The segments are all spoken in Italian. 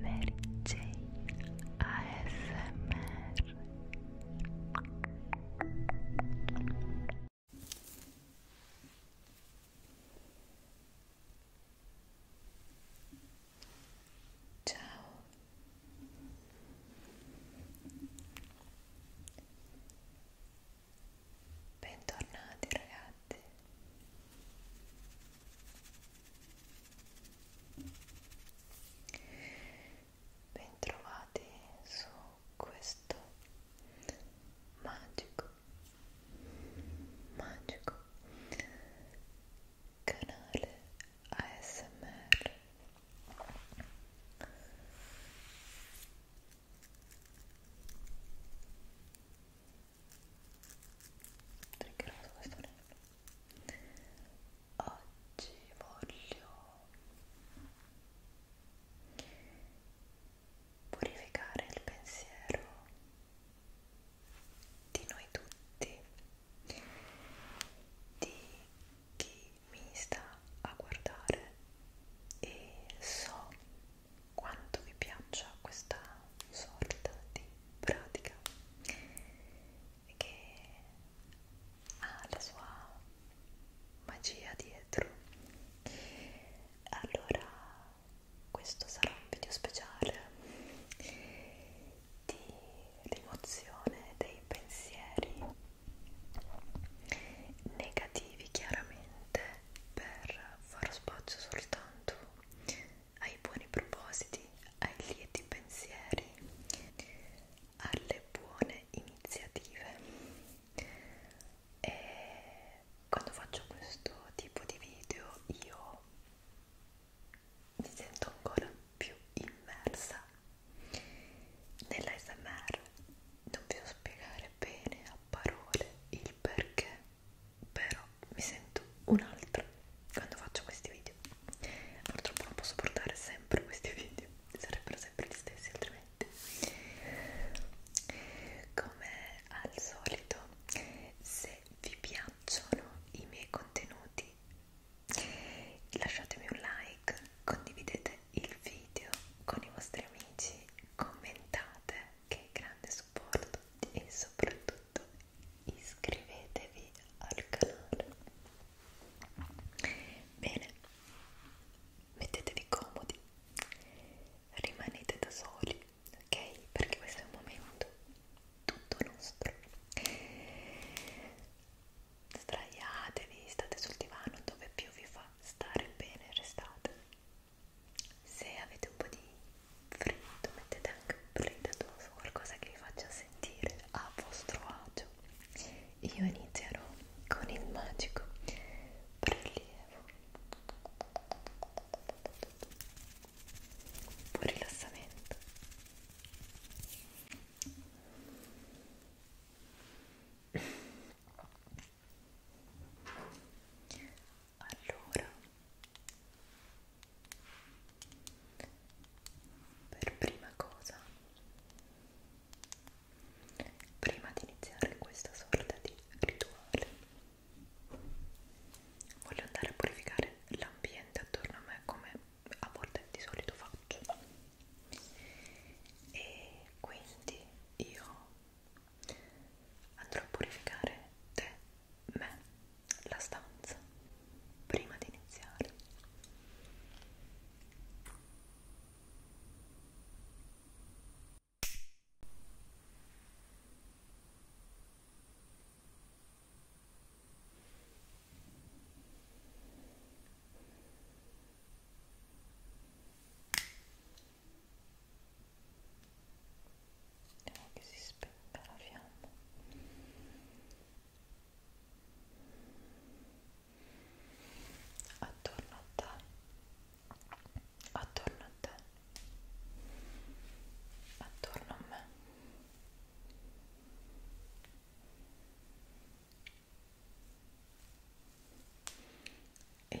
Mary Jane ASMR Ciao Bentornati ragazzi Bentrovati su questo magico, magico canale ASMR triggeroso questo anello oggi voglio purificare il pensiero di noi tutti di chi mi sta a guardare e so quanto vi piaccia questa sorta di pratica che ha la sua magia dietro allora questo sarà un video speciale di rimozione dei pensieri negativi chiaramente per far spazio soltanto ai buoni propositi, ai lieti pensieri, alle buone iniziative. E quando faccio questo tipo di video io mi sento ancora più immersa nella SMR. Non vi so spiegare bene a parole il perché però mi sento un'altra quando faccio questi video purtroppo non posso portare sempre questi video sarebbero sempre gli stessi altrimenti come al solito se vi piacciono i miei contenuti lasciatemi un like condividete il video con i vostri amici commentate che grande supporto e soprattutto soprattutto iscrivetevi al canale bene mettetevi comodi rimanete da soli ok perché questo è un momento tutto nostro sdraiatevi state sul divano dove più vi fa stare bene restate se avete un po' di freddo mettete anche un predatore qualcosa che vi faccia sentire a vostro agio io inizierò con il magico prelievo buon rilassamento allora per prima cosa prima di iniziare questa sorta di rituale voglio andare a purificare l'ambiente attorno a me come a volte di solito faccio e quindi io andrò a purificare te, me, la stanza prima di iniziare. Vediamo che si spenga la fiamma. Attorno a te, attorno a te, attorno a me. E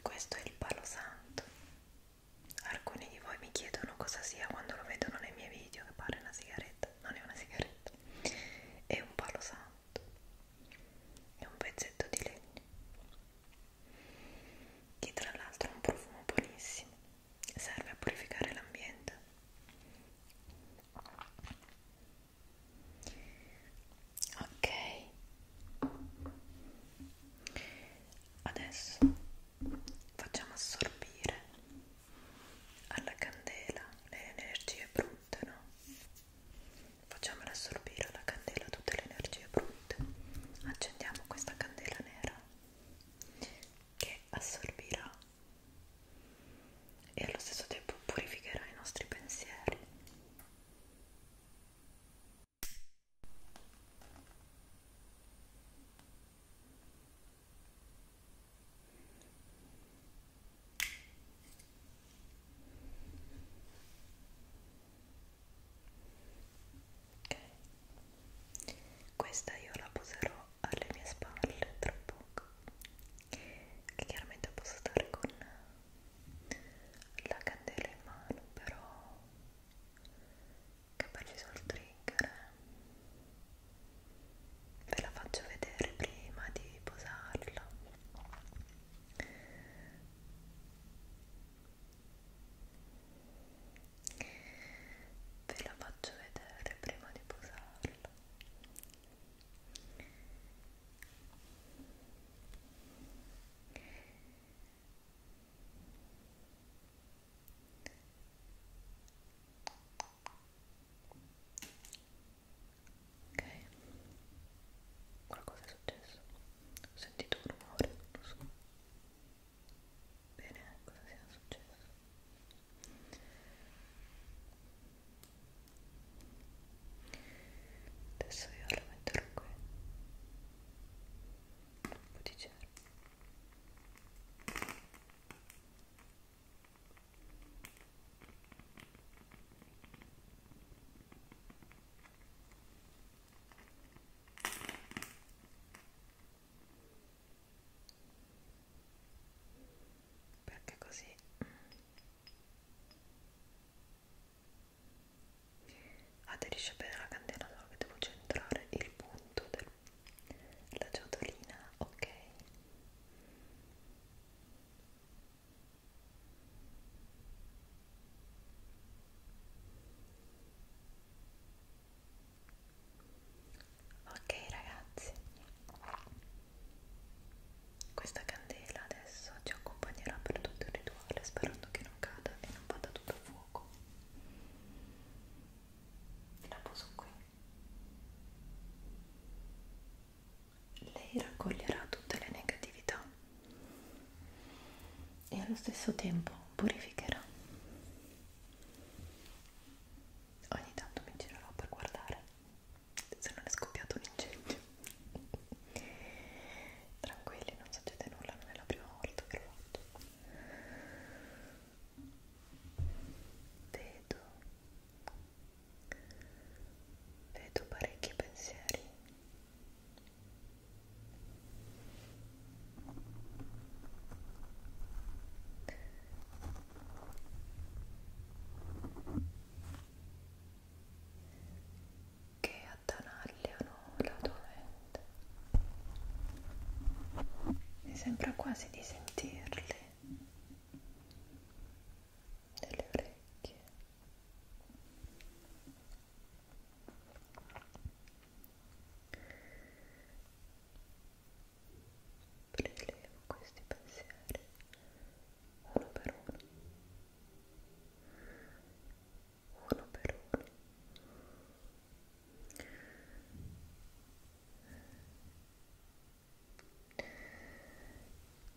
Questo è il palo santo. Alcuni di voi mi chiedono cosa sia quando lo vedono nei miei video, che pare una sigaretta, non è una sigaretta, è un palo santo, è un pezzetto di legno che tra l'altro ha un profumo buonissimo, serve a purificare l'ambiente. Ok, adesso facciamo assorbire alla candela le energie brutte, no? Facciamola assorbire alla candela tutte le energie brutte. Accendiamo questa candela nera che assorbirà e allo stesso tempo purificherà i nostri pensieri ok questa io la poserò alle mie spalle tra poco che chiaramente posso stare con la candela in mano però che poi ci sono il trigger eh. ve la faccio vedere prima di posarla ve la faccio vedere prima di posarlo ok qualcosa è successo ho sentito un rumore non so bene cosa sia successo adesso io la metterò qui un po' di gel ok perché così aderisce bene la candela solo che devo centrare il punto della ciotolina ok Ok ragazzi, questa candela adesso ci accompagnerà per tutto il rituale sperando che non cada e non vada tutto a fuoco. La poso qui lei raccoglierà tutte le negatività e allo stesso tempo purificherà. Ogni tanto mi girerò per guardare se non è scoppiato un incendio. Tranquilli, non succede nulla, non è la prima volta che lo faccio. Vedo, vedo parecchi pensieri che attanagliano la tua mente. Mi sembra quasi di sentirli nelle orecchie prelevo questi pensieri uno per uno uno per uno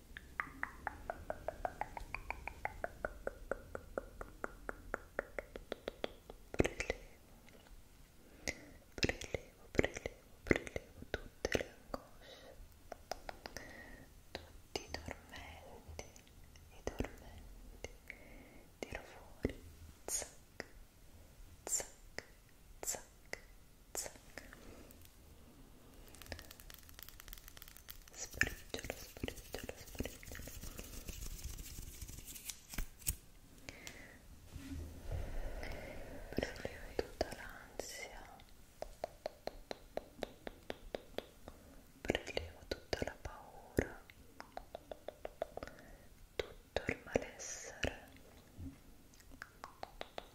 prelevo, prelevo, prelevo tutte le angosce, tutti i tormenti, i zac, zac, zac, zac spriggiolo, spriggiolo, spriggiolo preleva tutta l'ansia preleva tutta la paura tutto il malessere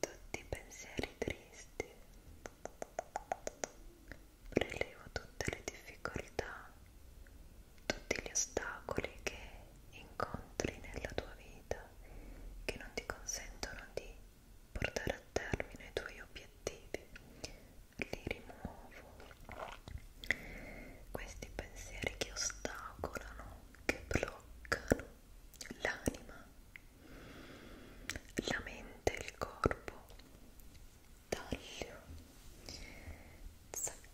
tutti i pensieri tristi prelevo tutte le difficoltà tutti gli ostacoli che incontri nella tua vita che non ti consentono di portare a termine i tuoi obiettivi li rimuovo questi pensieri che ostacolano, che bloccano l'anima, la mente e il corpo. Taglio, zac,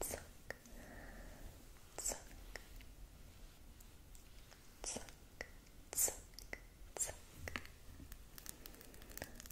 zac, zac, zac, zac, zac.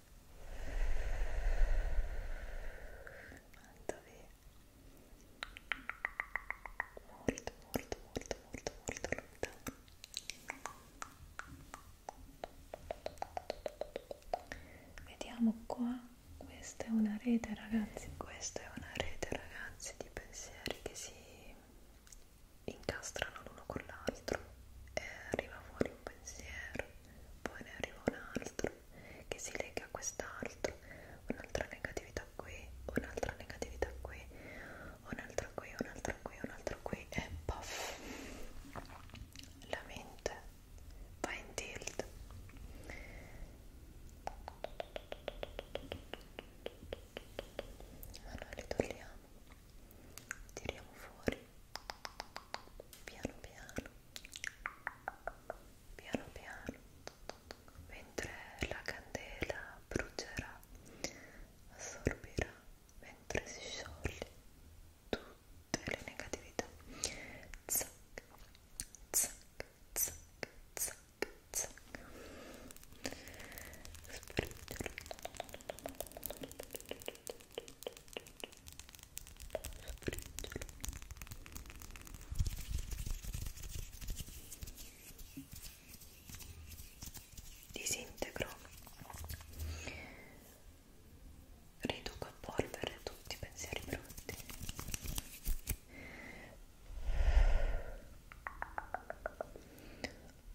molto bene molto molto molto molto molto lontano vediamo qua questa è una rete ragazzi questa è una rete ragazzi di pensieri che si incastrano l'uno con l'altro e arriva fuori un pensiero, poi ne arriva un altro che si lega a quest'altro, un'altra negatività qui, un'altra negatività qui, un'altra qui, un'altra qui, un'altra qui e puff, la mente va in tilt. Allora li togliamo, tiriamo fuori piano piano piano piano mentre la candela brucerà assorbirà mentre si scioglie tutte le negatività zac zac zac zac zac spero disintegro riduco a polvere tutti i pensieri brutti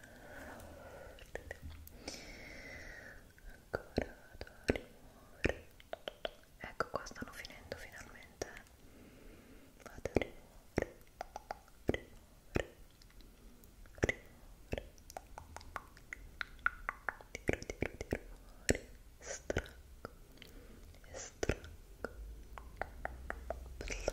ancora vado a rimuovere ecco qua stanno finendo finalmente vado a rimuovere rimuovere rimuovere tiro tiro tiro fuori stracco stracco Black. Black.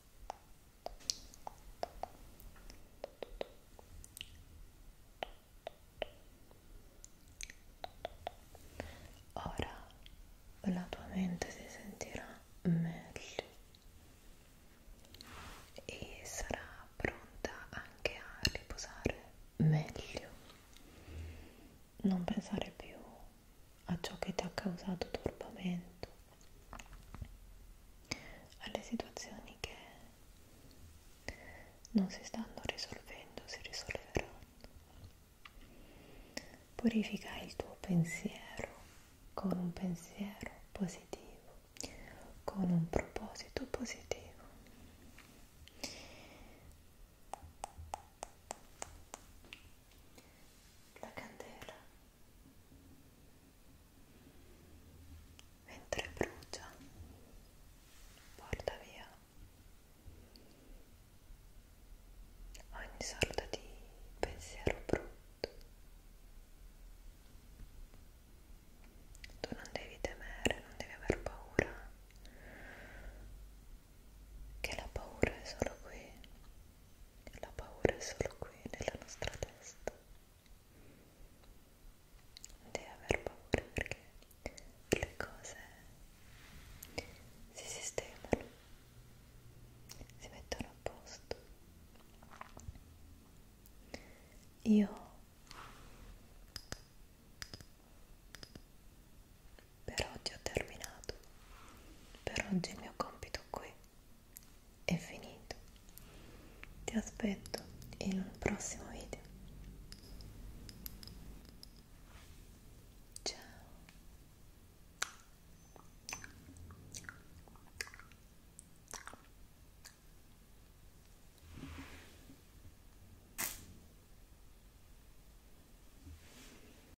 Ora la tua mente si sentirà meglio e sarà pronta anche a riposare meglio. Non pensare più a ciò che ti ha causato turbamento, alle situazioni che non si stanno risolvendo, si risolveranno. Purifica il tuo pensiero con un pensiero positivo, con un proposito positivo la candela mentre brucia porta via ogni sorta di pensiero brutto tu non devi temere non devi aver paura che la paura è solo qui la paura è solo qui nella nostra testa. Devi aver paura perché le cose si sistemano, si mettono a posto. Io per oggi ho terminato. Per oggi il mio compito qui è finito. Ti aspetto in un prossimo video. Ciao.